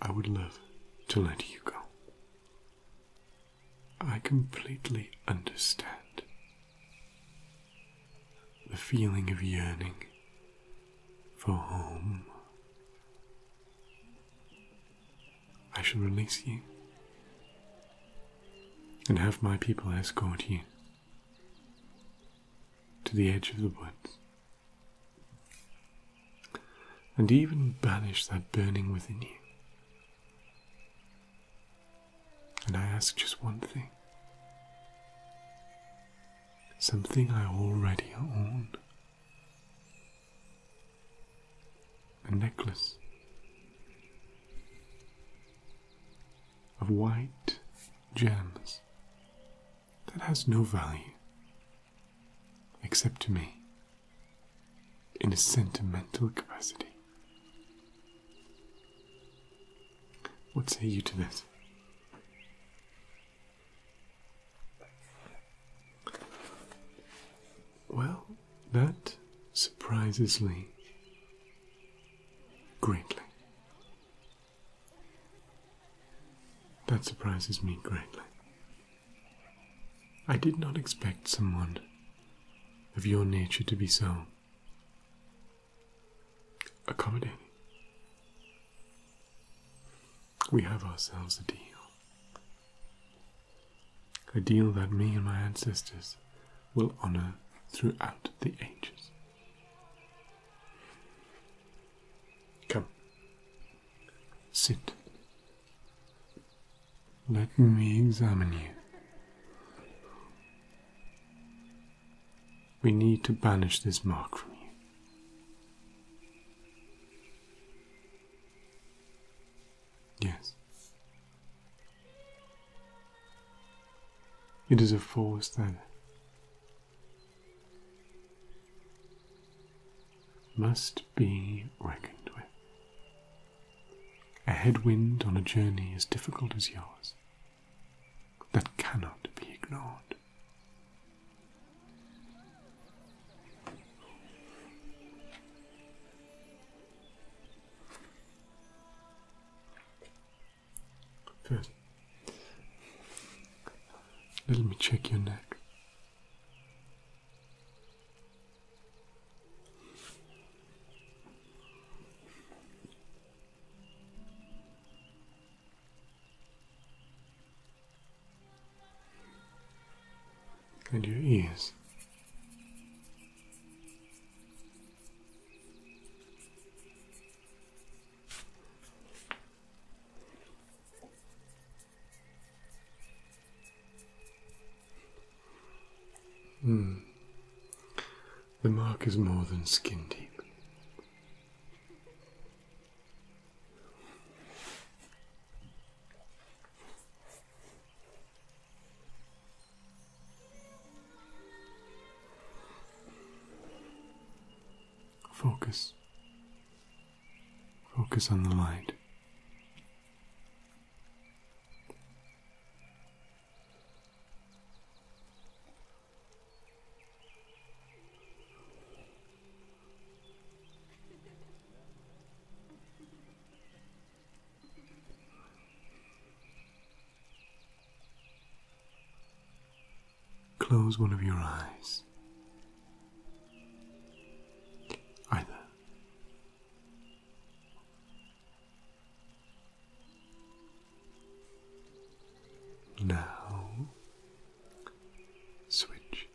I would love to let you go. I completely understand the feeling of yearning for home. I shall release you and have my people escort you to the edge of the woods, and even banish that burning within you. And I ask just one thing something I already own. A necklace of white gems that has no value except to me in a sentimental capacity. What say you to this? Well, that surprises me greatly. That surprises me greatly. I did not expect someone of your nature to be so accommodating. We have ourselves a deal. A deal that me and my ancestors will honour throughout the ages. Come, sit. Let me examine you. We need to banish this mark from you. Yes. It is a force that must be reckoned with. A headwind on a journey as difficult as yours that cannot be ignored. First, Let me check your neck. And your ears. Hmm. The mark is more than skin deep. Focus. Focus on the light. Close one of your eyes. Either. Now switch.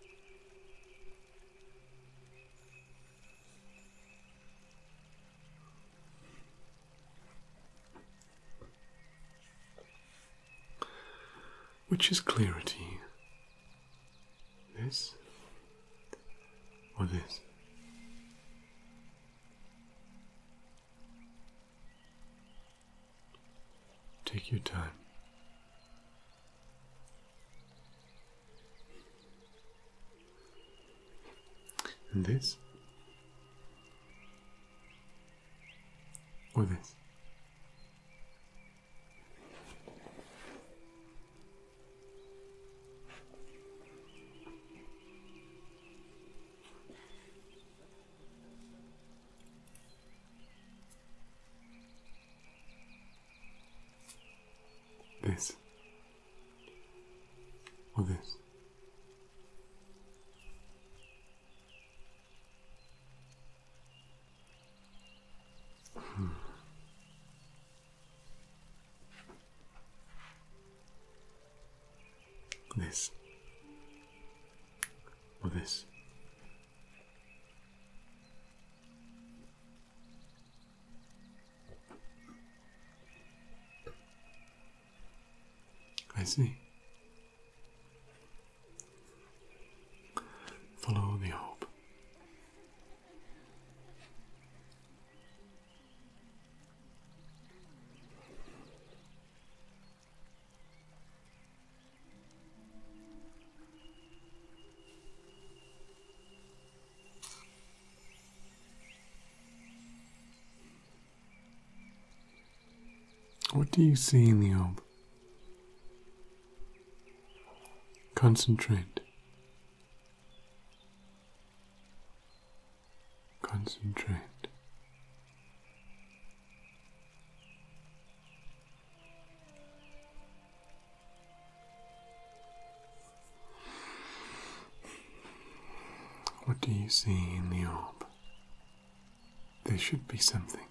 Which is clearer to you? This or this? Take your time. And this? Or this? This. Hmm. or this? This this. I see. Follow the hope. What do you see in the orb? Concentrate. Concentrate. What do you see in the orb? There should be something.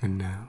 And now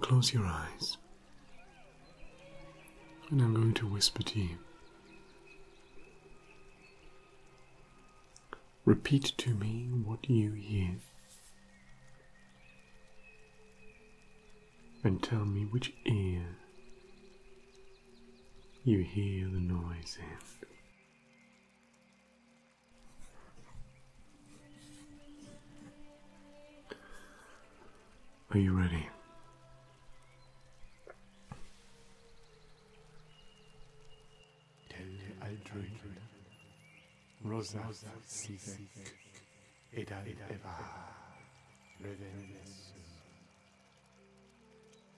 Close your eyes, and I'm going to whisper to you. Repeat to me what you hear, and tell me which ear you hear the noise in. Are you ready? I drink Rosa Sisek Eda Eva Revenescence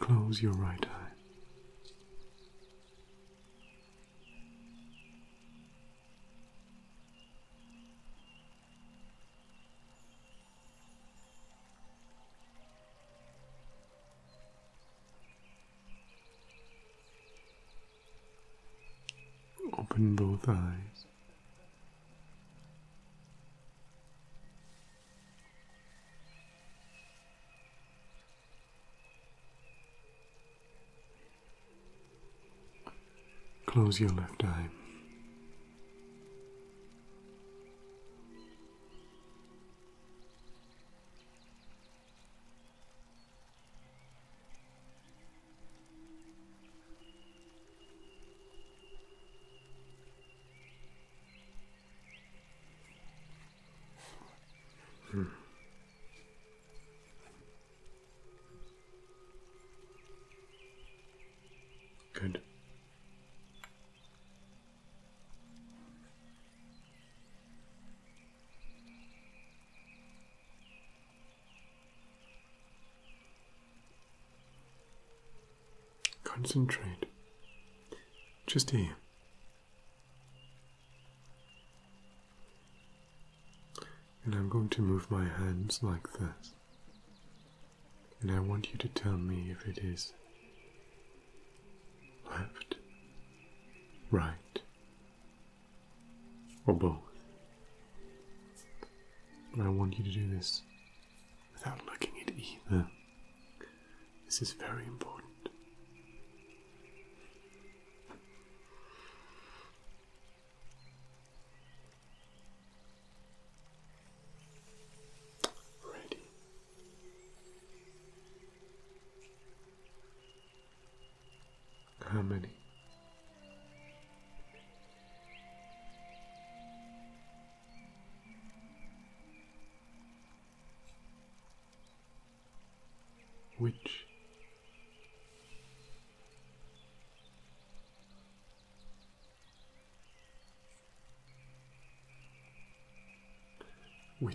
Close your right eye. Open both eyes. Close your left eye. Hmm. Good. Concentrate. Just here. And I'm going to move my hands like this. And I want you to tell me if it is left, right, or both. But I want you to do this without looking at either. This is very important. Ready. How many? Which? Which?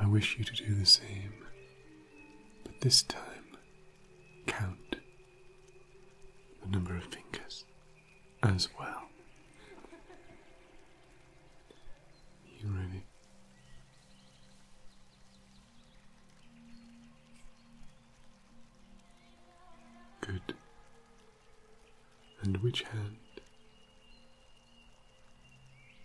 I wish you to do the same, but this time count the number of fingers as well. You ready? Good. And which hand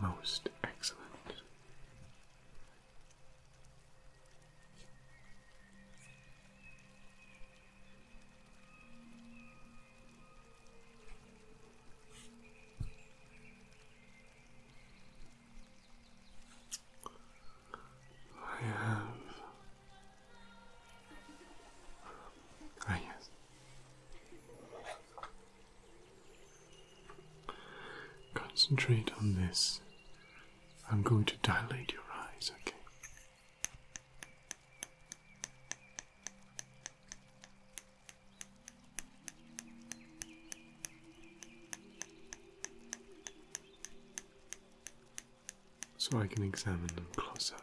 Most excellent. I have. Ah, yes. Concentrate on this. I'm going to dilate your eyes, okay? so I can examine them close up.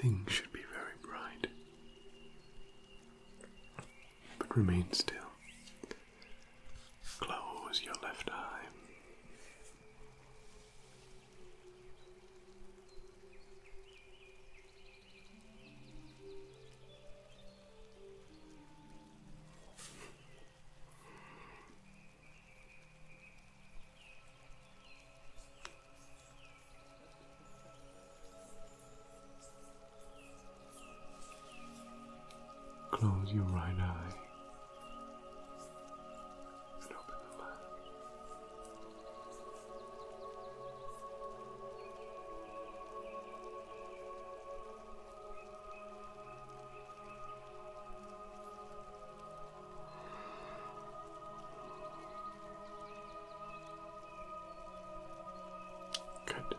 Things should be very bright, but remain still. Close your left eye. Close your right eye and open Good.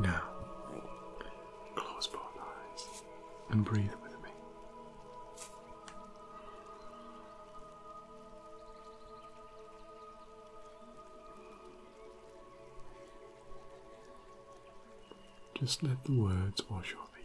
Now, close both eyes and breathe with me. Just let the words wash over you.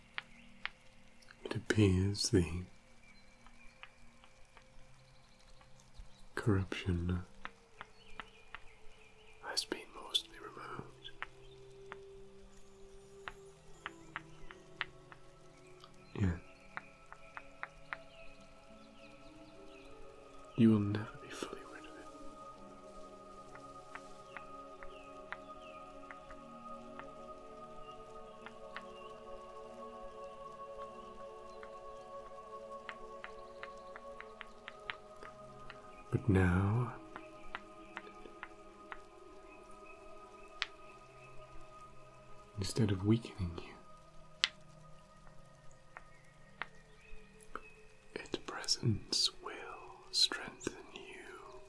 It appears the corruption has been mostly removed. Yet, you will never be fully rid of it. But now instead of weakening you. Its presence will strengthen you.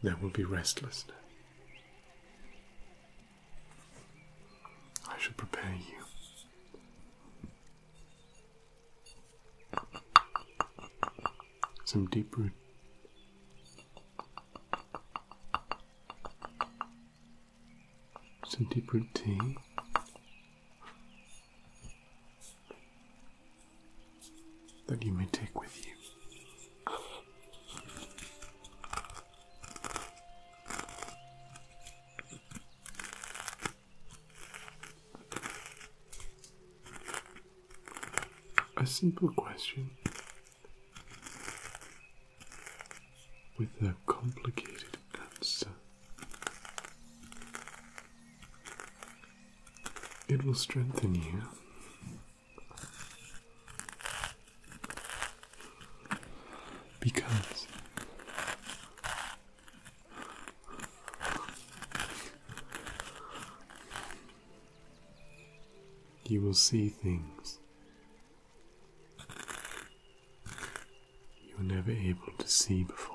There will be restlessness. I shall prepare you. Some deep root. Some deep root tea. That you may take with you. A simple question with a complicated answer. It will strengthen you. Because you will see things you were never able to see before.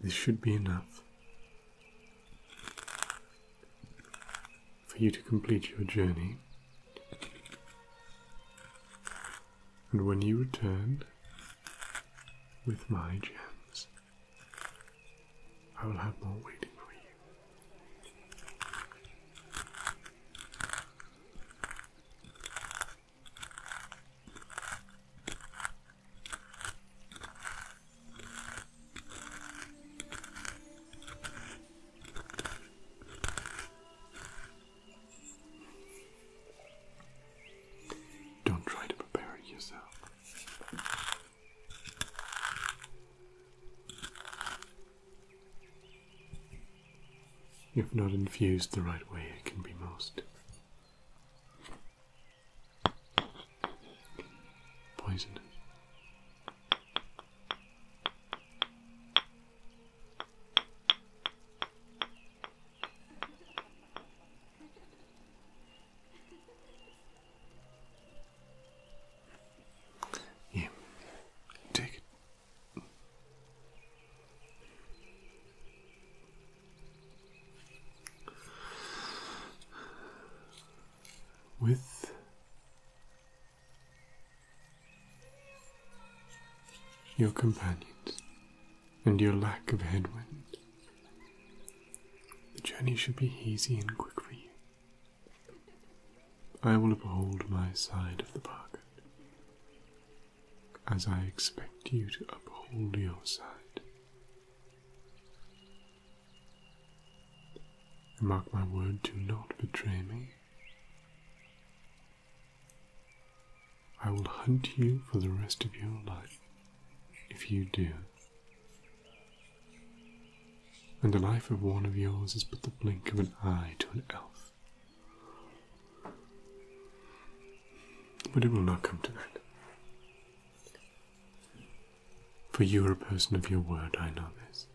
This should be enough for you to complete your journey. And when you return with my gems, I will have more waiting for you. Don't try to prepare yourself. If not infused the right way, it can be most Poison. Yeah, take it with your companions and your lack of headwind. The journey should be easy and quick for you. I will uphold my side of the bargain as I expect you to uphold your side. mark my word, do not betray me. I will hunt you for the rest of your life if you do. And the life of one of yours is but the blink of an eye to an elf, but it will not come to that. For you are a person of your word, I know this.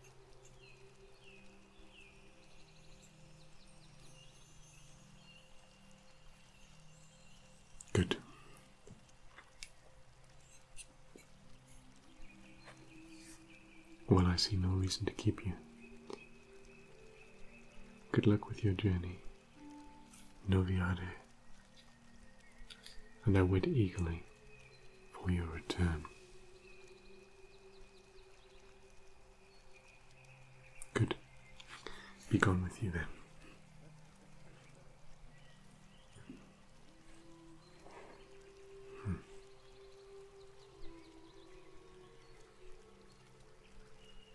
Good. Well, I see no reason to keep you. Good luck with your journey. Noviade, and I wait eagerly for your return. Good. Be gone with you then. Hmm.